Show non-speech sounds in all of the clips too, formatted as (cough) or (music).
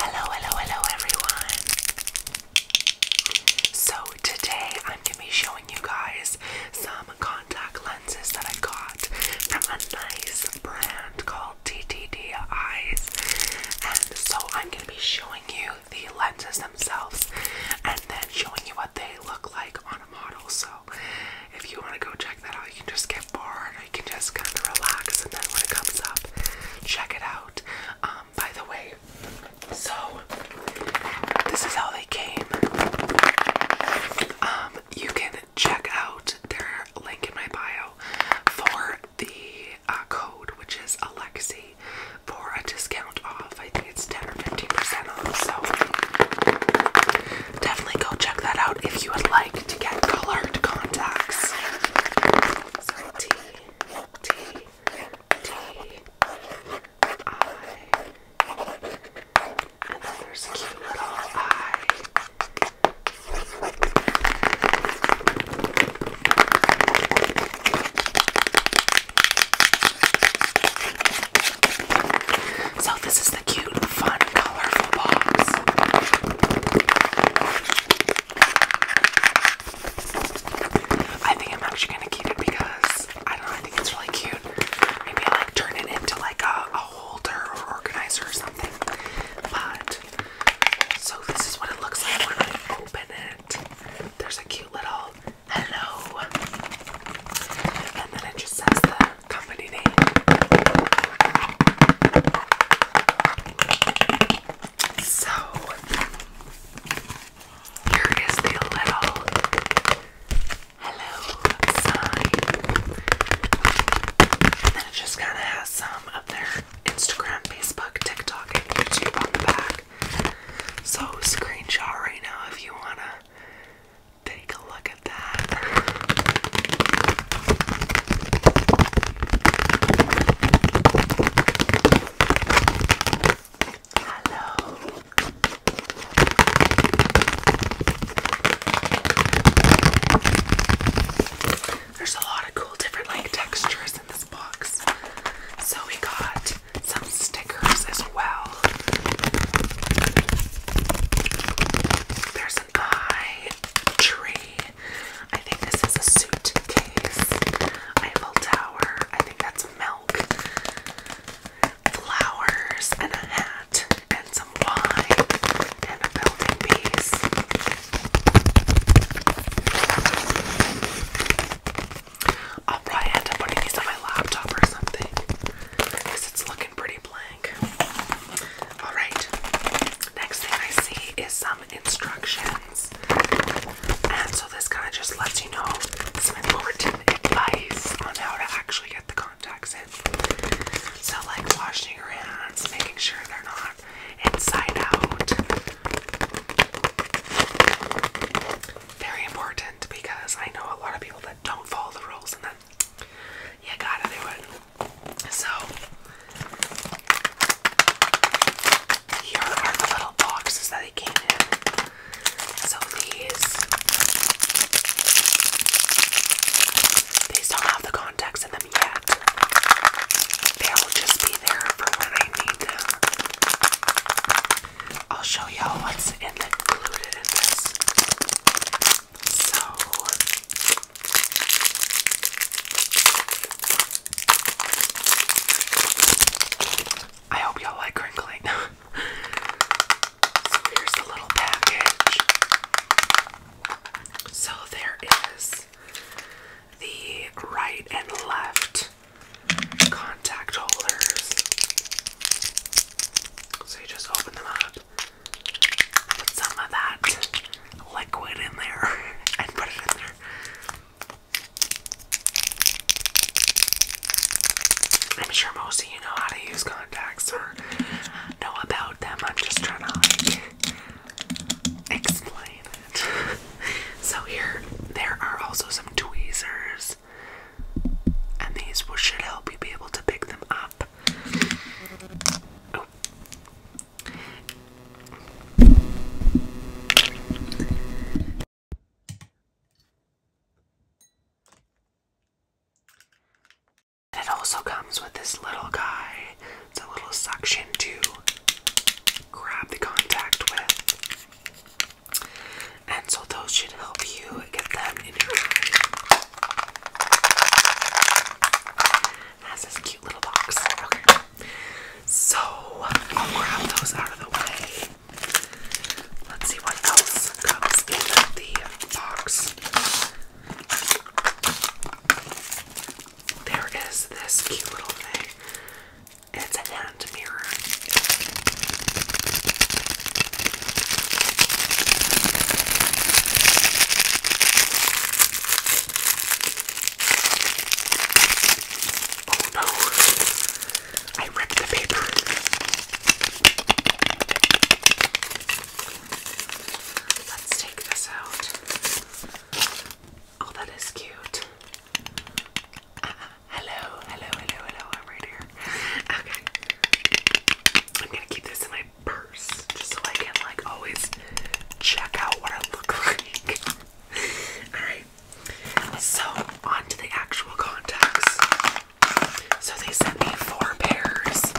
Hello, hello, hello everyone. So today I'm going to be showing you guys some contact lenses that I got from a nice brand called TTD Eyes. And so I'm going to be showing you the lenses themselves and then showing you what they look like on a model. So if you want to go check that out, you can just get bored or you can just kind of relax, and then when it comes up, check it out. Um, by the way, so this is how they came. Um, you can check out their link in my bio for the uh, code, which is Alexi, for a discount off. I think it's 10 or 15% off. So definitely go check that out if you would like to get colored contacts. So this is the cute I think I'm actually gonna keep it because I don't know, I think it's really cute. Maybe I like turn it into like a, holder or organizer or something. But so this is what it looks like when I open it. There's a cute little hello. And then it just says company name. So here is the little hello sign. And then it just kind of has some of their Instagram, Facebook, TikTok, and YouTube on the back. So screenshot right now if you wanna Take a look at that. Hello. There's a lot of cool different like textures in this box. So we got some stickers as well. There's an eye tree. I think this is a suitcase. Eiffel Tower. I think that's milk. Flowers and a hat and some wine and a building piece. I'll probably end up putting these on my laptop or something because it's looking pretty blank. All right, next thing I see is some instructions, and so this kind of just lets you know some important advice on how to actually get the contacts in. So, like washing your hands, making sure they're not inside out very important because I know a lot of people that don't follow the rules and then you gotta do it. So, here are the little boxes that they came in. So, these, these don't have the contacts in them yet. They'll just be there for when I need them. I'll show y'all what's is included in this. I hope y'all like crinkling. (laughs) so here's the little package. So there is the right and left contact holders. So you just open them up, put some of that liquid in there, (laughs) and put it in there. I'm sure most of you know how to use contacts or know about them. I'm just trying to like explain it. (laughs) so here there are also some tweezers and these will should help you be able to pick them up. Oh. it also comes with this little guy. It's a little suction to grab the contact with. And so those should help you get them in your Has this cute little box. Okay. So I'll grab those out of the way. Let's see what else comes in the box. There is this cute little thing it's a hand mirror. Oh no, I ripped the paper. Let's take this out. Oh, that is cute. Uh-uh hello, hello, hello, hello. I'm right here. Okay. I'm gonna keep this in my purse just so I can like always check out what I look (laughs) like. Alright. So on the actual contacts. So they sent me four pairs.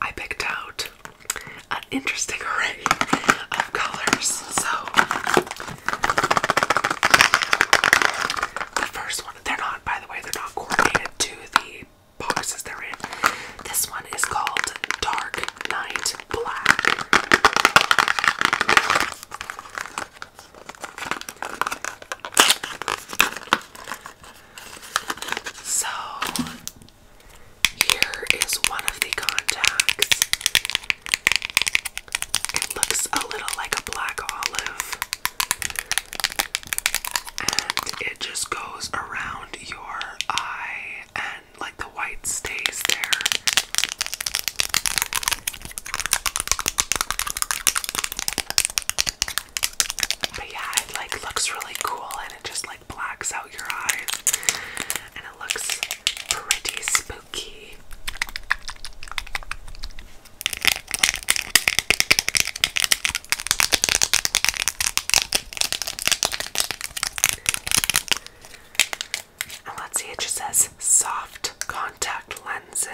I picked out an interesting array of colors. So, first one, they're not, by the way, they're not coordinated to the boxes they're in. This one is called Dark Night Black. So, here is one of the contacts. It looks a little like a black olive. And it just goes around your eye and like the white stays there. But yeah, it like looks really cool and it just like blacks out your eyes, and it looks pretty spooky. And let's see, it just says soft contact lenses.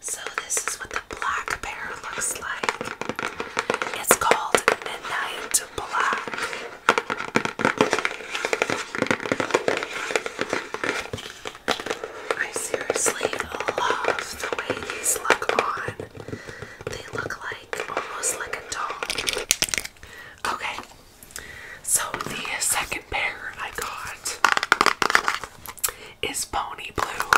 So this is what the black pair looks like. It's called Midnight Black. I seriously love the way these look on. They look like almost like a doll. Okay, so the second pair I got is pony blue.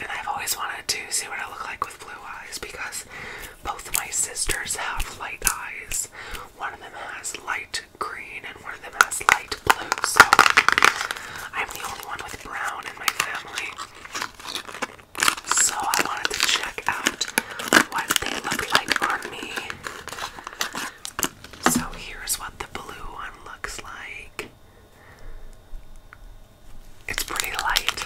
And I've always wanted to see what it look like with blue eyes because both of my sisters have light eyes. One of them has light green and one of them has light blue. So I'm the only one with brown in my family. So I wanted to check out what they look like on me. So here's what the blue one looks like. It's pretty light.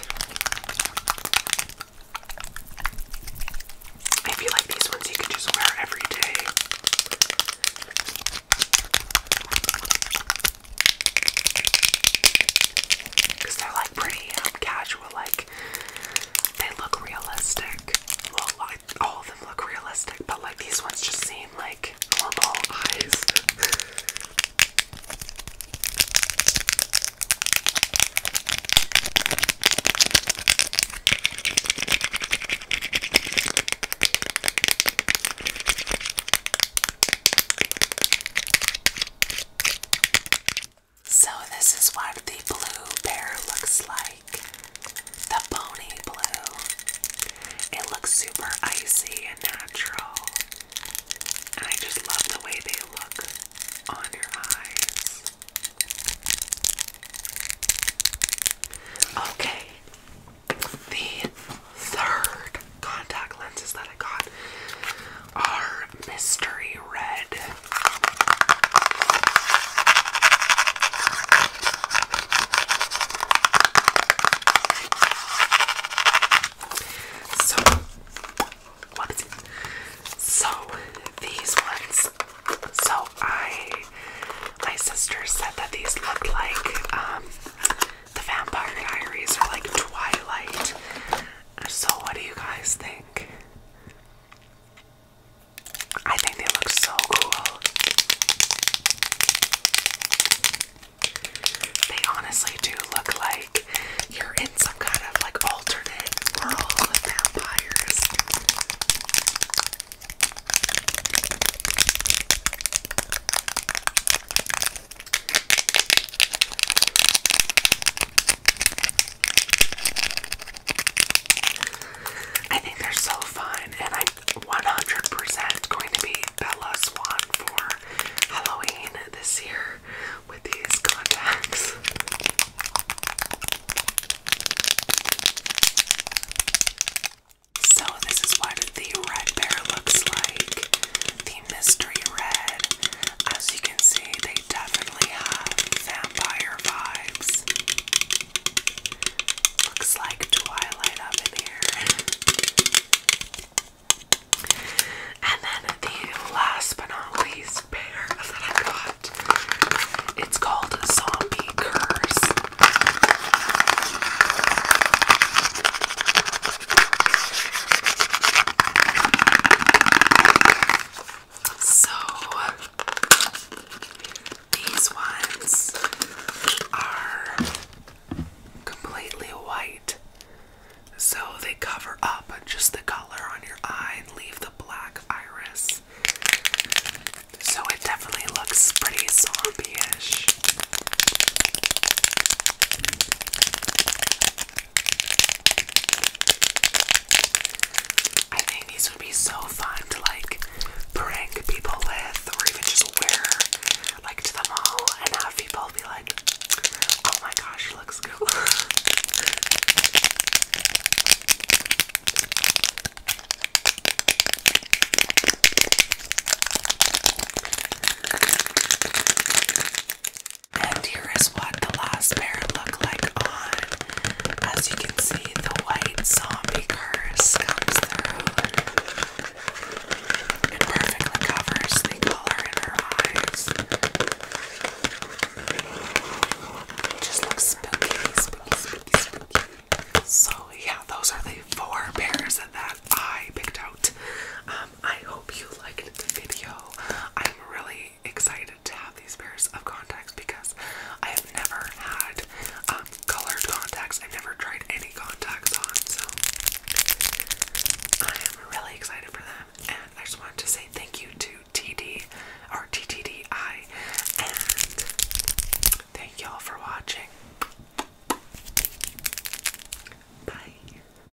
If you like these ones, you can just wear every day. Because they're like pretty um, casual, like they look realistic. Well, like all look realistic, but like these ones just seem like normal eyes. So, this is what the blue bear looks like the bony blue. It looks super icy and natural. And I just love the way they look on your eyes. Okay, the third contact lenses that I got are mystery red. So, what is So, these ones. So, I, my sister said that these looked like um, the Vampire Diaries or like Twilight. So, what do you guys think? I think they look so cool. They honestly do look like you're in some kind of like alternate world with vampires. I think they're so fine, and I'm 100% going to be Bella Swan for Halloween this year with these contacts. So, this is what the red bear looks like the mystery red. As you can see, they definitely have vampire vibes. Looks like Twilight up in here. And then the last but not least pair that I got. It's called Zombie Curse. So these ones are completely white. So they cover up just the color on your eye and leave the black iris. So it definitely looks pretty zombie-ish. I think these would be so fun to like prank people with, or even just wear like to the mall and have people be like, oh my gosh, looks cool. And here is what the last pair looked like on. As you can see, the white zombie curse comes through and perfectly covers the color in her eyes. just looks spooky, So yeah, those are the four pairs that I picked out. Um, I hope you liked the video. I'm really excited to have these pairs of contacts because I have never had um, colored contacts. I've never tried any contacts on, so I am really excited for them. And I just wanted to say thank you to TD or TTDI, and thank y'all for watching. Bye.